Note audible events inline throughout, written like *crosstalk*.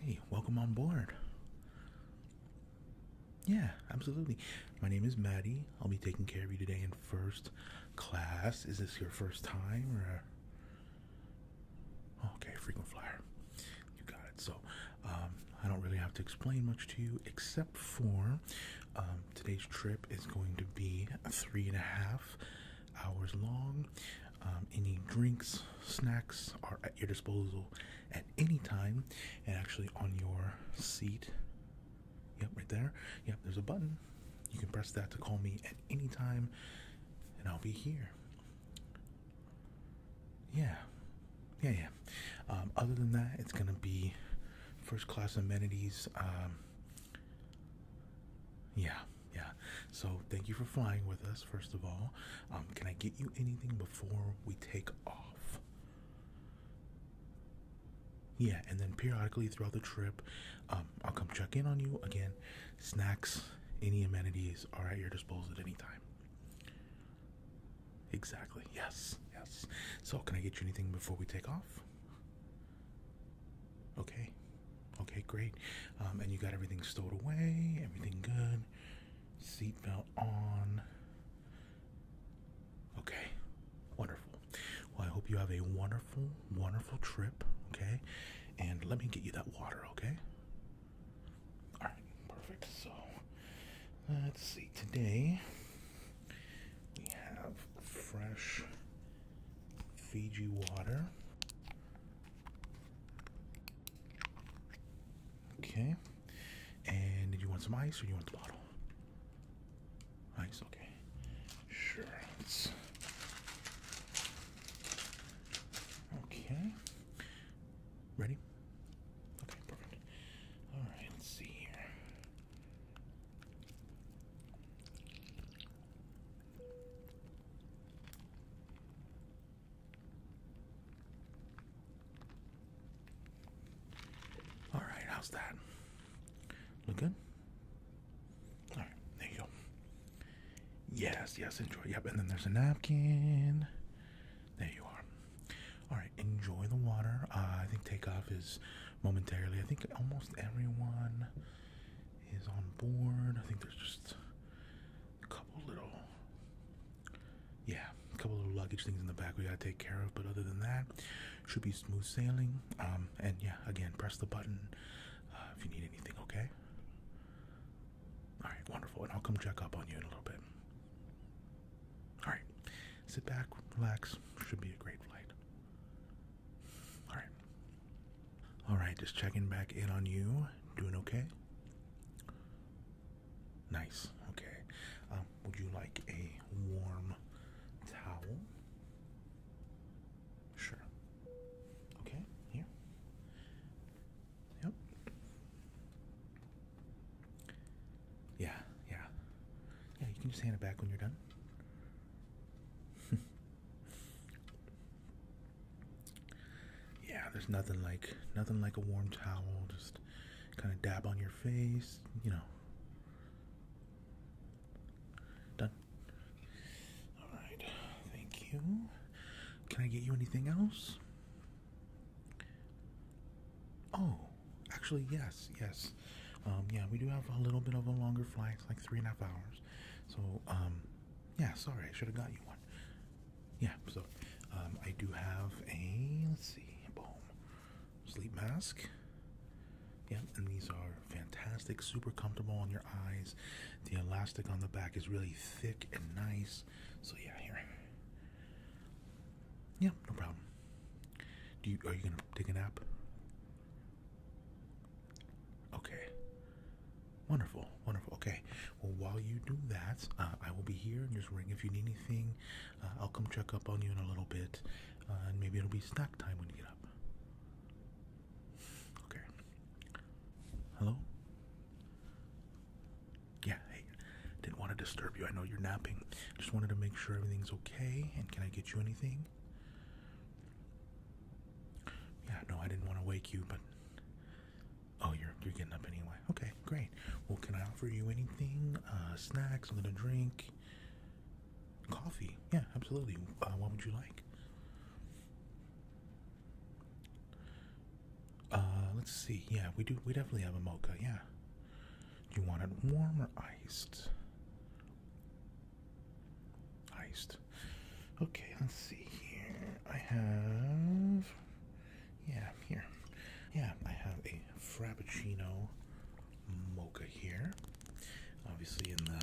Hey, welcome on board. Yeah, absolutely. My name is Maddie. I'll be taking care of you today in first class. Is this your first time or? Okay, frequent flyer. You got it. So, um, I don't really have to explain much to you except for um, today's trip is going to be three and a half hours long. Um, any drinks, snacks are at your disposal at any time, and actually on your seat. Yep, right there. Yep, there's a button. You can press that to call me at any time, and I'll be here. Yeah, yeah, yeah. Um, other than that, it's gonna be first class amenities. Um, yeah, yeah. So thank you for flying with us, first of all. Um, can I get you anything before we take off? Yeah, and then periodically throughout the trip, um, I'll come check in on you again. Snacks, any amenities are at your disposal at any time. Exactly. Yes. Yes. So, can I get you anything before we take off? Okay. Okay, great. Um, and you got everything stowed away, everything good. Seatbelt on. Okay, wonderful. Well, I hope you have a wonderful, wonderful trip. Okay, and let me get you that water. Okay. All right, perfect. So let's see. Today we have fresh Fiji water. Okay. And did you want some ice or you want the bottle? Ice, okay. Sure. Okay. Ready? Okay, perfect. Alright, let's see here. All right, how's that? Look good? All right, there you go. Yes, yes, enjoy. Yep, and then there's a napkin. There you are. All right, enjoy the water. Uh, I think takeoff is momentarily. I think almost everyone is on board. I think there's just a couple little, yeah, a couple little luggage things in the back we gotta take care of. But other than that, should be smooth sailing. Um, and yeah, again, press the button uh, if you need anything. Okay. All right, wonderful. And I'll come check up on you in a little bit. All right, sit back, relax. Should be a great flight. All right. All right, just checking back in on you. Doing okay? Nice. Okay. Um, would you like a warm towel? Sure. Okay. Here. Yep. Yeah. Yeah. Yeah. You can just hand it back when you're done. *laughs* yeah, there's nothing like nothing like a warm towel. Just kind of dab on your face, you know. Done. All right. Thank you. Can I get you anything else? Oh, actually, yes, yes. Um, yeah, we do have a little bit of a longer flight, like three and a half hours. So, um, yeah, sorry, I should have got you one. Yeah, so um, I do have a let's see, boom, sleep mask. Yeah, and these are fantastic, super comfortable on your eyes. The elastic on the back is really thick and nice. So yeah, here. Yeah, no problem. Do you are you gonna take a nap? Okay. Wonderful, wonderful. Okay. Well, while you do that, uh, I will be here and just ring if you need anything. Uh, I'll come check up on you in a little bit, uh, and maybe it'll be snack time when you get up. Okay. Hello? Yeah, hey. Didn't want to disturb you. I know you're napping. Just wanted to make sure everything's okay. And can I get you anything? Yeah, no, I didn't want to wake you, but oh, you're you're getting up anyway. Okay, great. Well, can I offer you anything? Uh, snacks, a little drink, coffee. Yeah, absolutely. Uh, what would you like? Uh, let's see. Yeah, we do. We definitely have a mocha. Yeah. Do you want it warm or iced? Iced. Okay, let's see here. I have. Yeah, here. Yeah, I have a Frappuccino mocha here. Obviously in the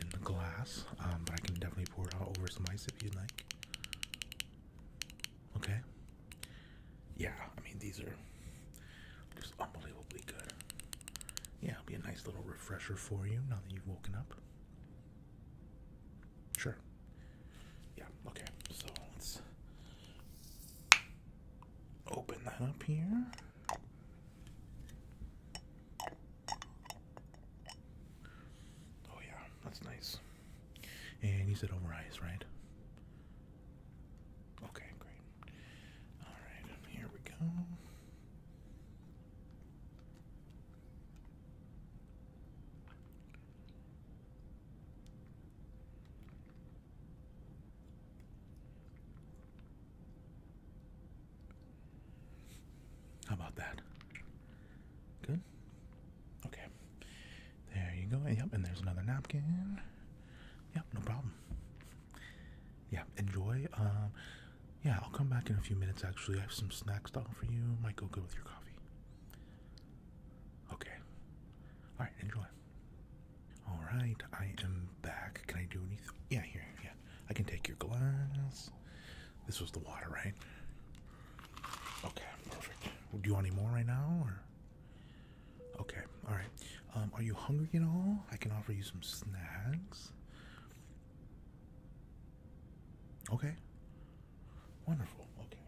in the glass, um, but I can definitely pour it all over some ice if you'd like. Okay. Yeah, I mean these are just unbelievably good. Yeah, it'll be a nice little refresher for you now that you've woken up. Sure. Yeah, okay. So let's open that up here. Oh, yeah, that's nice. And you said over ice, right? Okay, great. All right, here we go. How about that? Good. Okay. There you go. Yep, and there's another napkin. Yep, no problem yeah, enjoy. Um, yeah, I'll come back in a few minutes. Actually, I have some snacks down for you. Might go good with your coffee. Okay. All right, enjoy. All right, I am back. Can I do anything? Yeah, here. Yeah, I can take your glass. This was the water, right? Okay, perfect. Do you want any more right now, Okay, all right. Um, are you hungry at all? I can offer you some snacks. Okay, wonderful. Okay,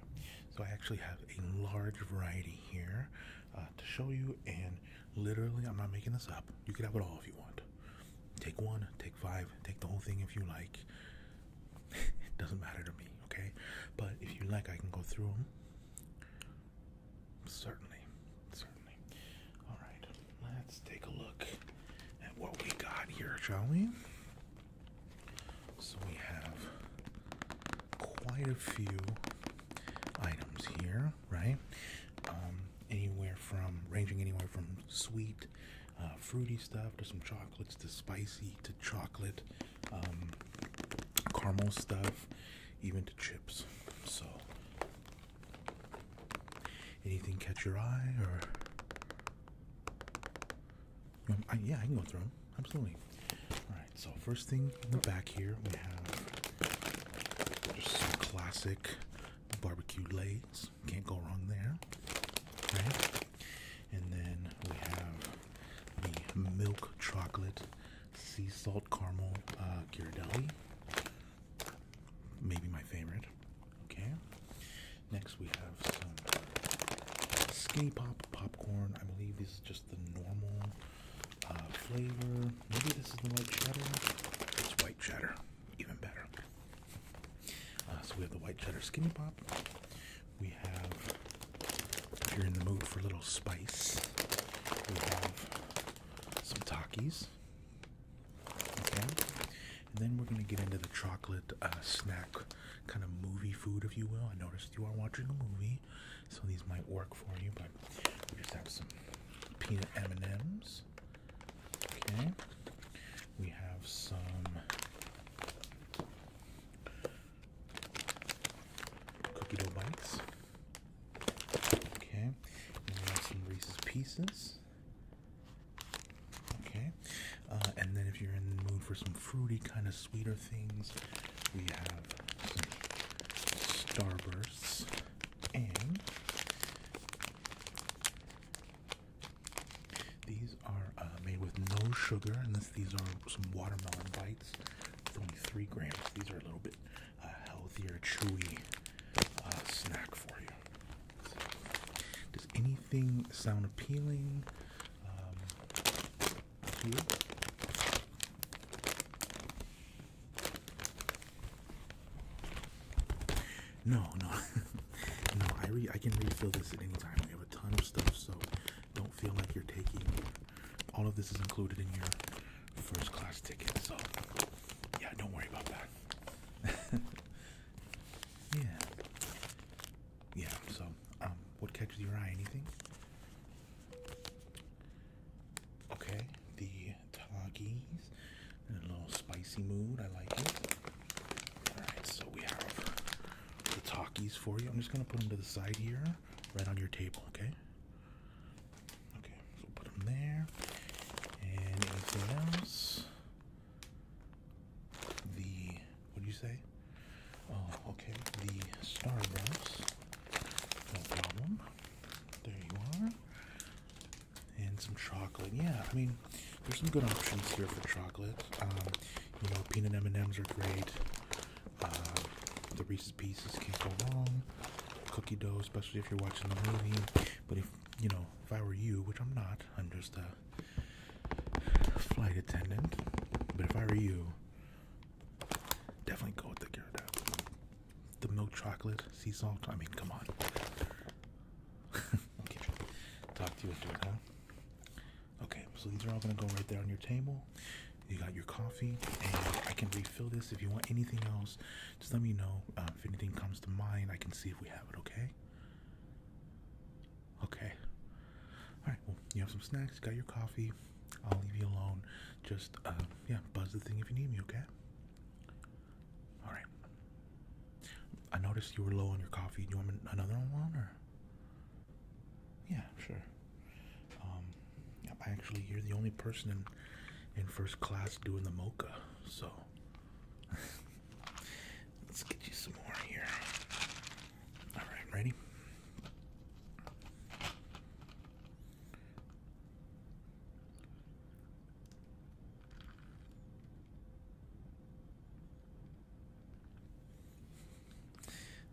so I actually have a large variety here uh, to show you, and literally, I'm not making this up. You could have it all if you want. Take one, take five, take the whole thing if you like. it *laughs* doesn't matter to me, okay? But if you like, I can go through them. Certainly, certainly. All right, let's take a look at what we got here, shall we? So we have quite a few items here, right? Um, anywhere from ranging anywhere from sweet, uh, fruity stuff to some chocolates to spicy to chocolate, um, caramel stuff, even to chips. So, anything catch your eye or? Um, yeah, I can go through them. Absolutely. All right. So first thing in the back here, we have just some classic barbecue lays. Can't go wrong there. Right. And then we have the milk chocolate sea salt caramel uh, Ghirardelli. Maybe my favorite. Okay. Next we have Skinny pop popcorn. I believe this is just the normal uh, flavor. Maybe this is the white cheddar. It's white cheddar. Even better. Uh, so we have the white cheddar skinny pop. We have if you're in the mood for a little spice, we have some Takis. Okay. And then we're going to get into the chocolate uh, snack kind of movie food, if you will. I noticed you are watching a movie, so these might work for you, but we just have some peanut M&Ms. Okay. We have some cookie dough bites. Okay, and some Reese's Pieces. Okay, uh, and then if you're in the mood for some fruity, kind of sweeter things, we have Starbursts and. These are uh, made with no sugar, and this, these are some watermelon bites only three grams. These are a little bit uh, healthier, chewy uh, snack for you. does anything sound appealing um, No, no, *laughs* no. I re I can refill this at any time. We have a ton of stuff, so don't feel like you're taking all of this is included in your first class ticket, so yeah, don't worry about that. *laughs* yeah. Yeah, so um, what catches your eye? Anything? Okay, the Takis in a little spicy mood. I like it. Alright, so we have the Takis for you. I'm just gonna put them to the side here right on your table, okay? Okay, so put them there. And anything else? The, what do you say? Oh, okay, the Starburst. No problem. There you are. And some chocolate. Yeah, I mean, there's some good options here for chocolate. Um, you know, peanut M&Ms are great. Uh, the Reese's Pieces can't go wrong. Cookie dough, especially if you're watching the movie. But if you know, if I were you, which I'm not, I'm just a flight attendant. But if I were you, definitely go with the Ghirardelli. The milk chocolate, sea salt. I mean, come on. *laughs* okay, talk to you later, huh? Okay, so these are all gonna go right there on your table. You got your coffee, and I can refill this if you want anything else. Just let me know um, if anything comes to mind. I can see if we have it. Okay. Okay. All right. Well, you have some snacks. Got your coffee. I'll leave you alone. Just uh, yeah, buzz the thing if you need me. Okay. All right. I noticed you were low on your coffee. Do you want another one or? Yeah, sure. Um, I actually, you're the only person in in first class doing the mocha, so *laughs* let's get you some more here. All right, ready?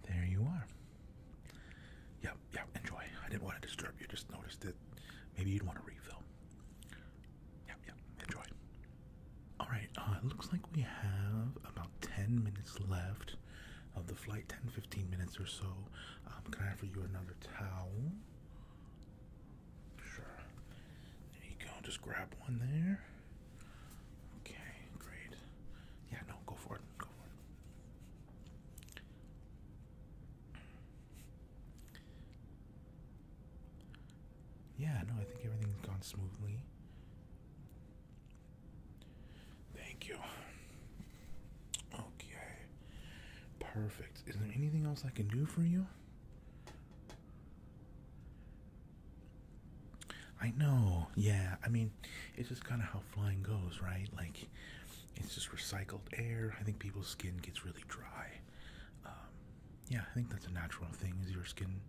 There you are. Yeah, yeah, enjoy. I didn't want to disturb you, just noticed it. maybe you'd want to refill. Yeah, yeah, enjoy. Alright, uh, it looks like we have about 10 minutes left of the flight, 10 15 minutes or so. Um, can I offer you another towel? Sure. There you go, just grab one there. Okay, great. Yeah, no, go for it. Go for it. Yeah, no, I think everything's gone smoothly. Thank you. Okay. Perfect. Is there anything else I can do for you? I know, yeah. I mean, it's just kind of how flying goes, right? Like, it's just recycled air. I think people's skin gets really dry. Um, yeah, I think that's a natural thing. Is your skin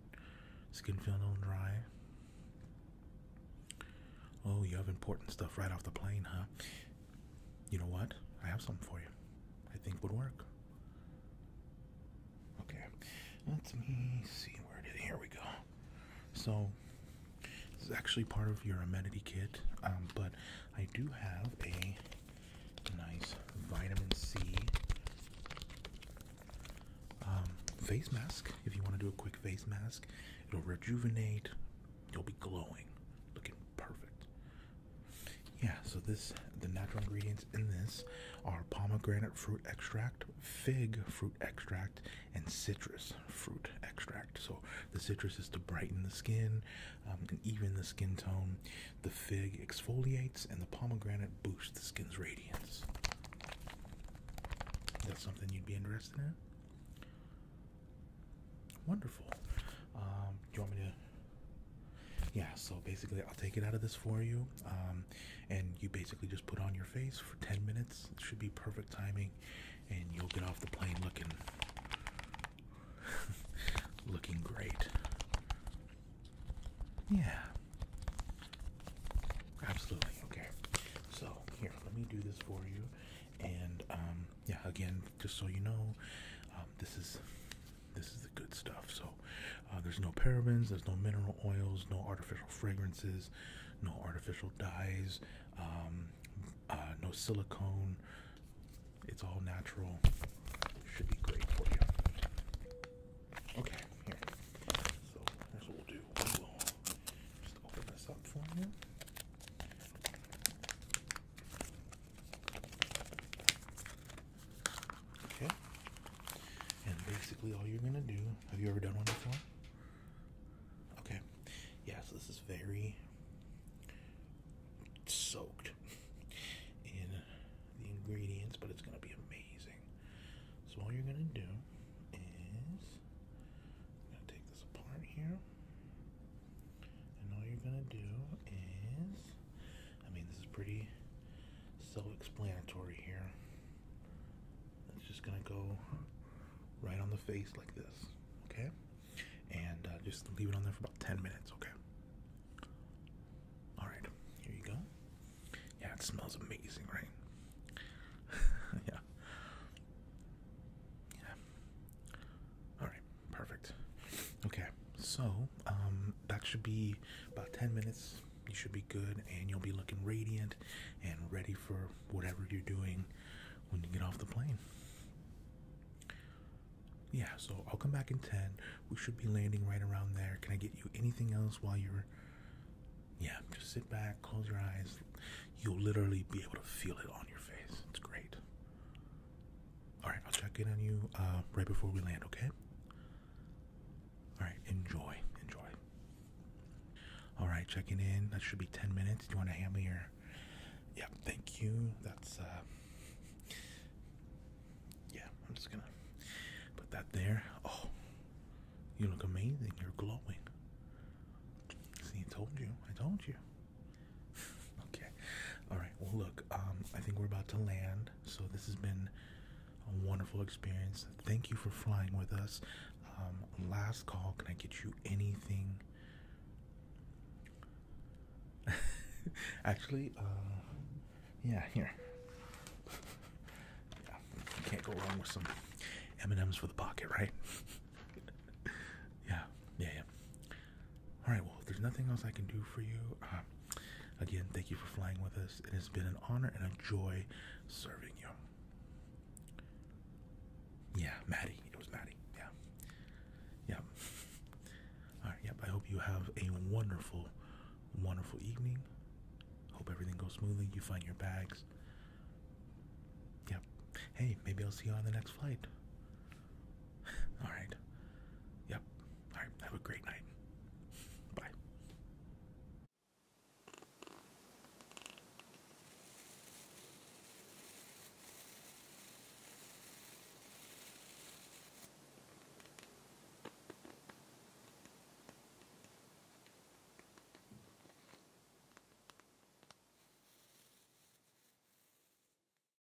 skin feeling all dry? Oh, you have important stuff right off the plane, huh? You know what? I have something for you. I think would work. Okay, let me see where it is. Here we go. So, this is actually part of your amenity kit, um, but I do have a nice vitamin C um, face mask. If you want to do a quick face mask, it'll rejuvenate, you'll be glowing, looking perfect. Yeah, so this, the natural ingredients in this are pomegranate fruit extract, fig fruit extract, and citrus fruit extract. So the citrus is to brighten the skin um, and even the skin tone. The fig exfoliates, and the pomegranate boosts the skin's radiance. That's something you'd be interested in. Wonderful. Um, do you want me to yeah so basically i'll take it out of this for you um, and you basically just put on your face for 10 minutes it should be perfect timing and you'll get off the plane looking *laughs* looking great yeah absolutely okay so here let me do this for you and um, yeah again just so you know um, this is this is the good stuff. So uh, there's no parabens, there's no mineral oils, no artificial fragrances, no artificial dyes, um, uh, no silicone. It's all natural. Should be great for you. Okay, here. So here's what we'll do. We will just open this up for you. Okay. And basically, all you're gonna do. Have you ever done one before? Okay. yes. this is very soaked in the ingredients, but it's gonna be amazing. So all you're gonna do is I'm gonna take this apart here, and all you're gonna do is I mean, this is pretty self-explanatory here. It's just gonna go right on the face like this, okay? And uh, just leave it on there for about 10 minutes, okay? All right, here you go. Yeah, it smells amazing, right? *laughs* yeah. Yeah. All right, perfect. Okay, so um, that should be about 10 minutes. You should be good and you'll be looking radiant and ready for whatever you're doing when you get off the plane. Yeah, so I'll come back in 10. We should be landing right around there. Can I get you anything else while you're. Yeah, just sit back, close your eyes. You'll literally be able to feel it on your face. It's great. All right, I'll check in on you uh, right before we land, okay? All right, enjoy, enjoy. All right, checking in. That should be 10 minutes. Do you want to hand me your. Yep. thank you. That's. uh Yeah, I'm just gonna put that there. Oh, you look amazing. You're glowing. See, I told you. I told you. *laughs* okay. All right. Well, look. Um, I think we're about to land. So this has been a wonderful experience. Thank you for flying with us. Um, last call. Can I get you anything? *laughs* Actually, uh, yeah, here. *laughs* can't go wrong with some M and M's for the pocket, right? *laughs* yeah, yeah, yeah. All right, well, if there's nothing else I can do for you, um, again, thank you for flying with us. It has been an honor and a joy serving you. Yeah, Maddie. It was Maddie. Yeah. Yeah. All right. Yep. I hope you have a wonderful, wonderful evening. Hope everything goes smoothly. You find your bags. Yep. Hey, maybe I'll see you on the next flight. All right. Yep. All right. Have a great night. Bye.